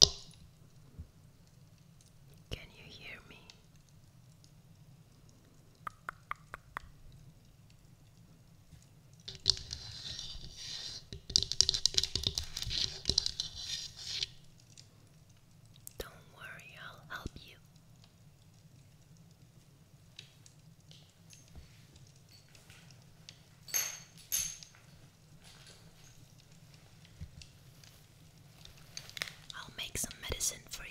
Can you hear me? Don't worry, I'll help you. I'll make some medicine for you.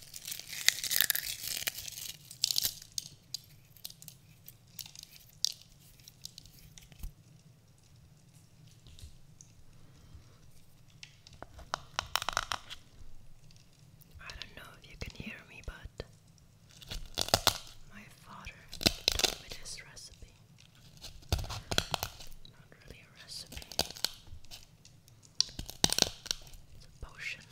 I don't know if you can hear me, but my father told me this recipe. Not really a recipe potion.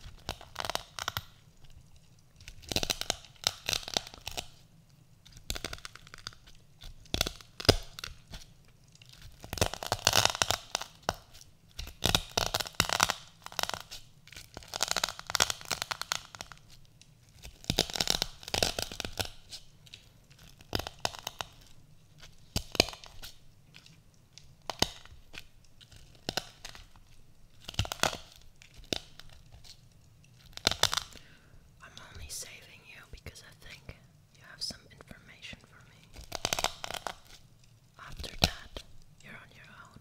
I'm only saving you because I think you have some information for me. After that, you're on your own.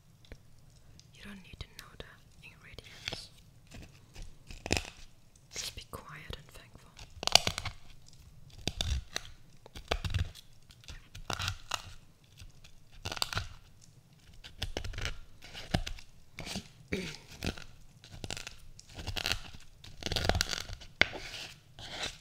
you don't need to know the ingredients. Just be quiet and thankful.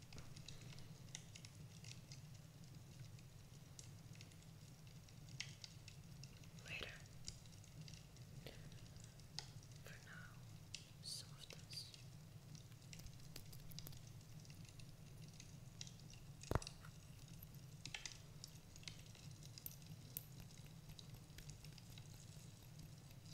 Later. For now, some of this.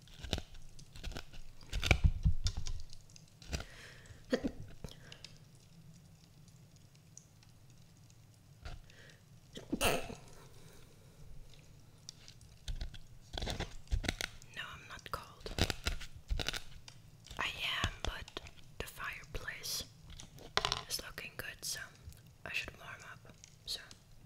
No, I'm not cold. I am, but the fireplace is looking good, so I should warm up soon.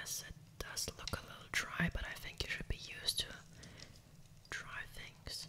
Yes, it does look a little dry, but I think you should be used to dry things.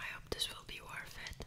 I hope this will be worth it.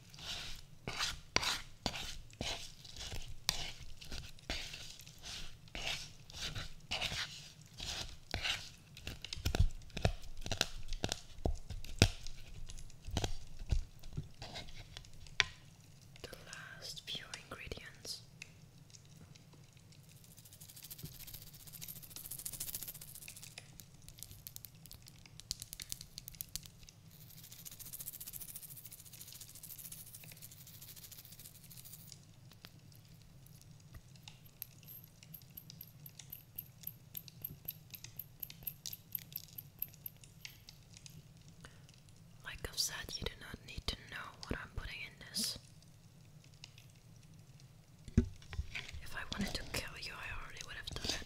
The last few ingredients. Like I've said, you do not need to know what I'm putting in this. If I wanted to kill you, I already would have done it.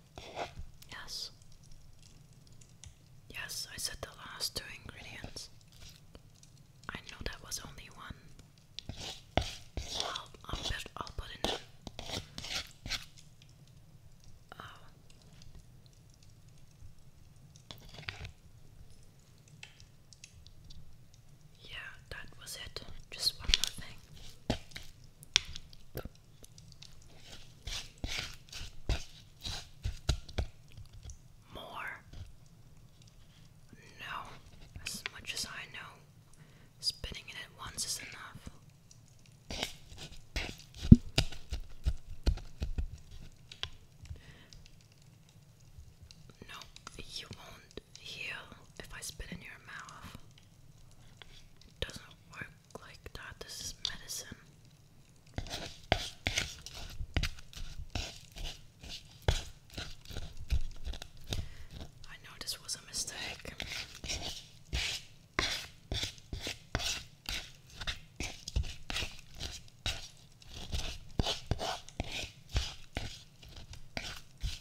Yes. Yes, I said the last two ingredients. I know that was only one. I'll, put, I'll put in oh. Yeah, that was it. Just one more thing. More? No. As much as I know, spinning it at once is enough. No, you won't heal if I spit in your mouth. It doesn't work like that. This is medicine. I know this was a mistake.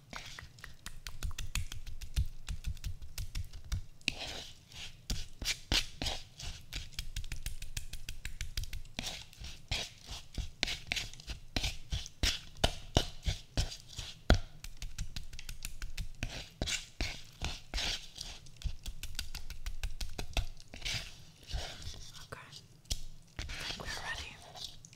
Okay. We're ready.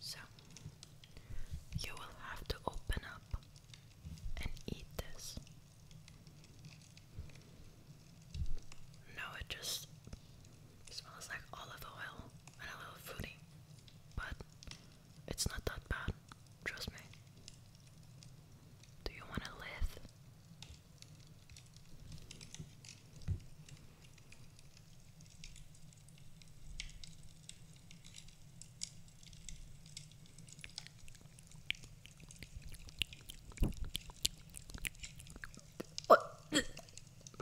So, you will have to open up and eat this. No, it just smells like olive oil and a little fruity, but it's not that bad, trust me. Do you want to live?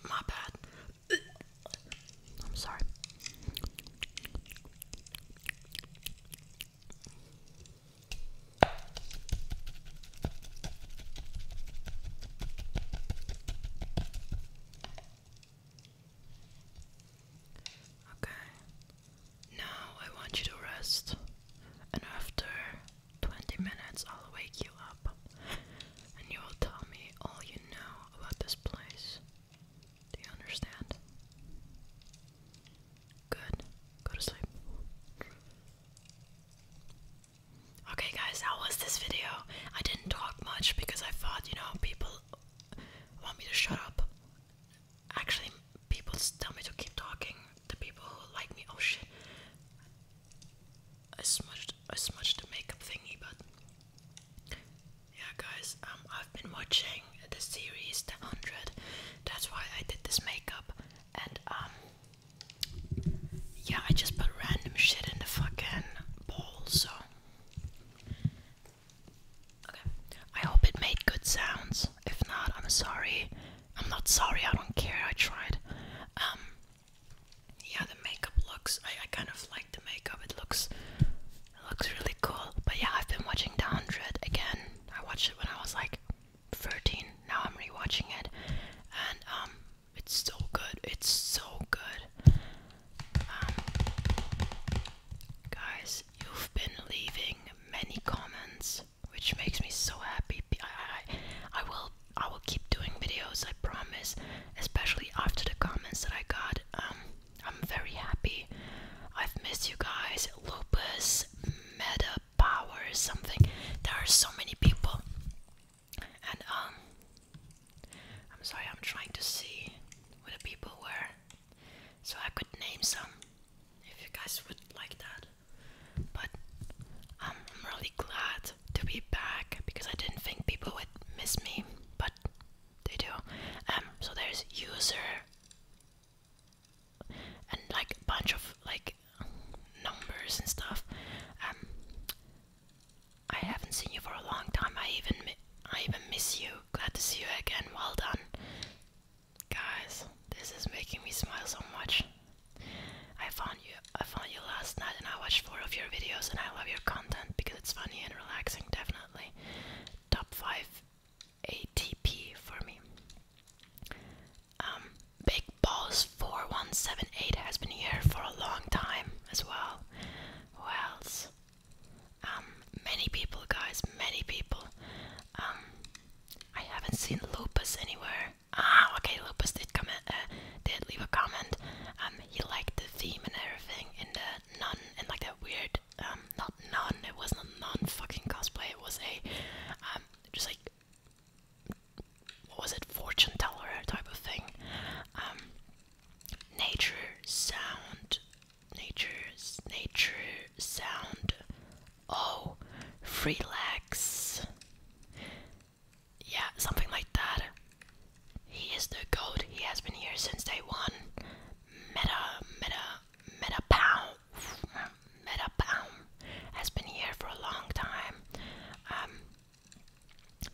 my bad. I'm sorry. Okay. Now I want you to rest, and after 20 minutes, I'll wake you up and you will tell me all you know about this place. Do you understand? Good. Go to sleep. Okay, guys, how was this video? I didn't talk much because I thought, you know, people want me to shut up. Actually, people tell me to keep talking. The people who like me. Oh shit! I smudged. I smudged the makeup thingy, but yeah, guys. Um, I I've been watching the series The Hundred. That's why I did this makeup. And um, yeah, I just put random shit in the fucking bowl. So okay, I hope it made good sounds. If not, I'm sorry. I'm not sorry. I don't care. I tried. Um, yeah, the makeup looks. I, I kind of like the makeup. It looks. It looks really cool. But yeah, I've been watching The 100 again I watched it when I was like 13. Now I'm rewatching it, and um, it's so good. It's so good. Um, guys, you've been leaving many comments, which makes me so happy. I, I, I will, I will keep doing videos. I promise. Especially after the comments that I got. Um, I'm very happy. I've missed you guys, Lupus meta power or something. There are so many people, and um, I'm sorry, I'm trying to see who the people were, so I could name some if you guys would like that. But um, I'm really glad to be back because I didn't think people would miss me, but they do. Um, so there's user and like a bunch of like numbers and stuff. Um, I haven't seen you for a long time. I even I even miss you. Glad to see you again. Well done, guys. This is making me smile so much. I found you. I found you last night, and I watched four of your videos, and I love your content because it's funny and relaxing. Definitely, top five ATP for me. Um, Big Balls 4178 has been here for a long time as well. Who else? Um, many people, guys, many people. Um, I haven't seen Lupus anywhere. Ah, okay, Lupus did come. Uh, did leave a comment. he liked the theme and everything in the nun and like that weird um, not non, it was not non fucking cosplay, it was a, um, just like, what was it, fortune teller type of thing. Um, nature, sound, nature, nature, sound, oh, relax. Yeah, something like that. He is the goat. He has been here since day one. Meta, meta, Metapound, Metapound has been here for a long time. Um,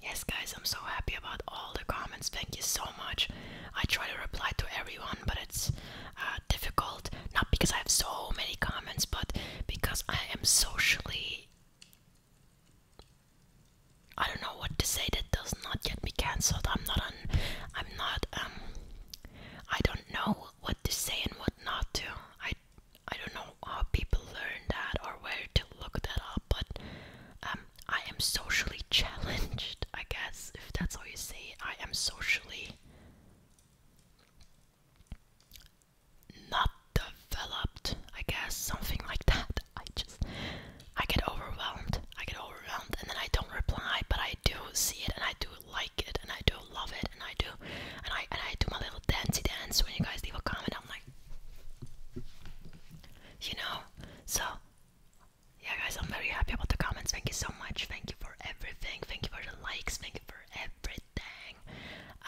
yes, guys, I'm so happy about all the comments. Thank you so much. I try to reply to everyone, but it's uh, difficult. Not because I have so many comments, but because I am socially. I don't know what to say that does not get me cancelled. I'm not on. I'm not um I don't know what to say and what not to. I I don't know how people learn that or where to look that up, but um, I am socially challenged, I guess, if that's how you say it. I am socially not developed, I guess, something like that. I just, I get overwhelmed. I get overwhelmed and then I don't reply, but I do see it and I do like it and I do love it and I do and I and I do my little dancey dance when you guys leave a comment I'm like you know so yeah guys I'm very happy about the comments thank you so much thank you for everything thank you for the likes thank you for everything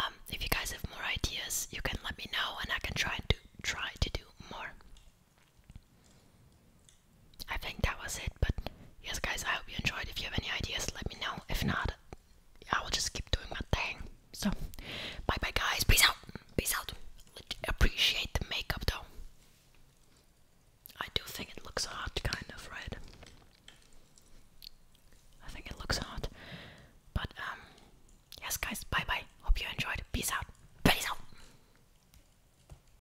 um, if you guys have more ideas you can let me know and I can try to try to do more I think that was it, but yes, guys, I hope you enjoyed. If you have any ideas, let me know. If not, I will just keep doing my thing. So, bye bye, guys. Peace out. Peace out. Appreciate the makeup, though. I do think it looks hot, kind of, right? I think it looks hot. But, um, yes, guys, bye bye. Hope you enjoyed. Peace out. Peace out.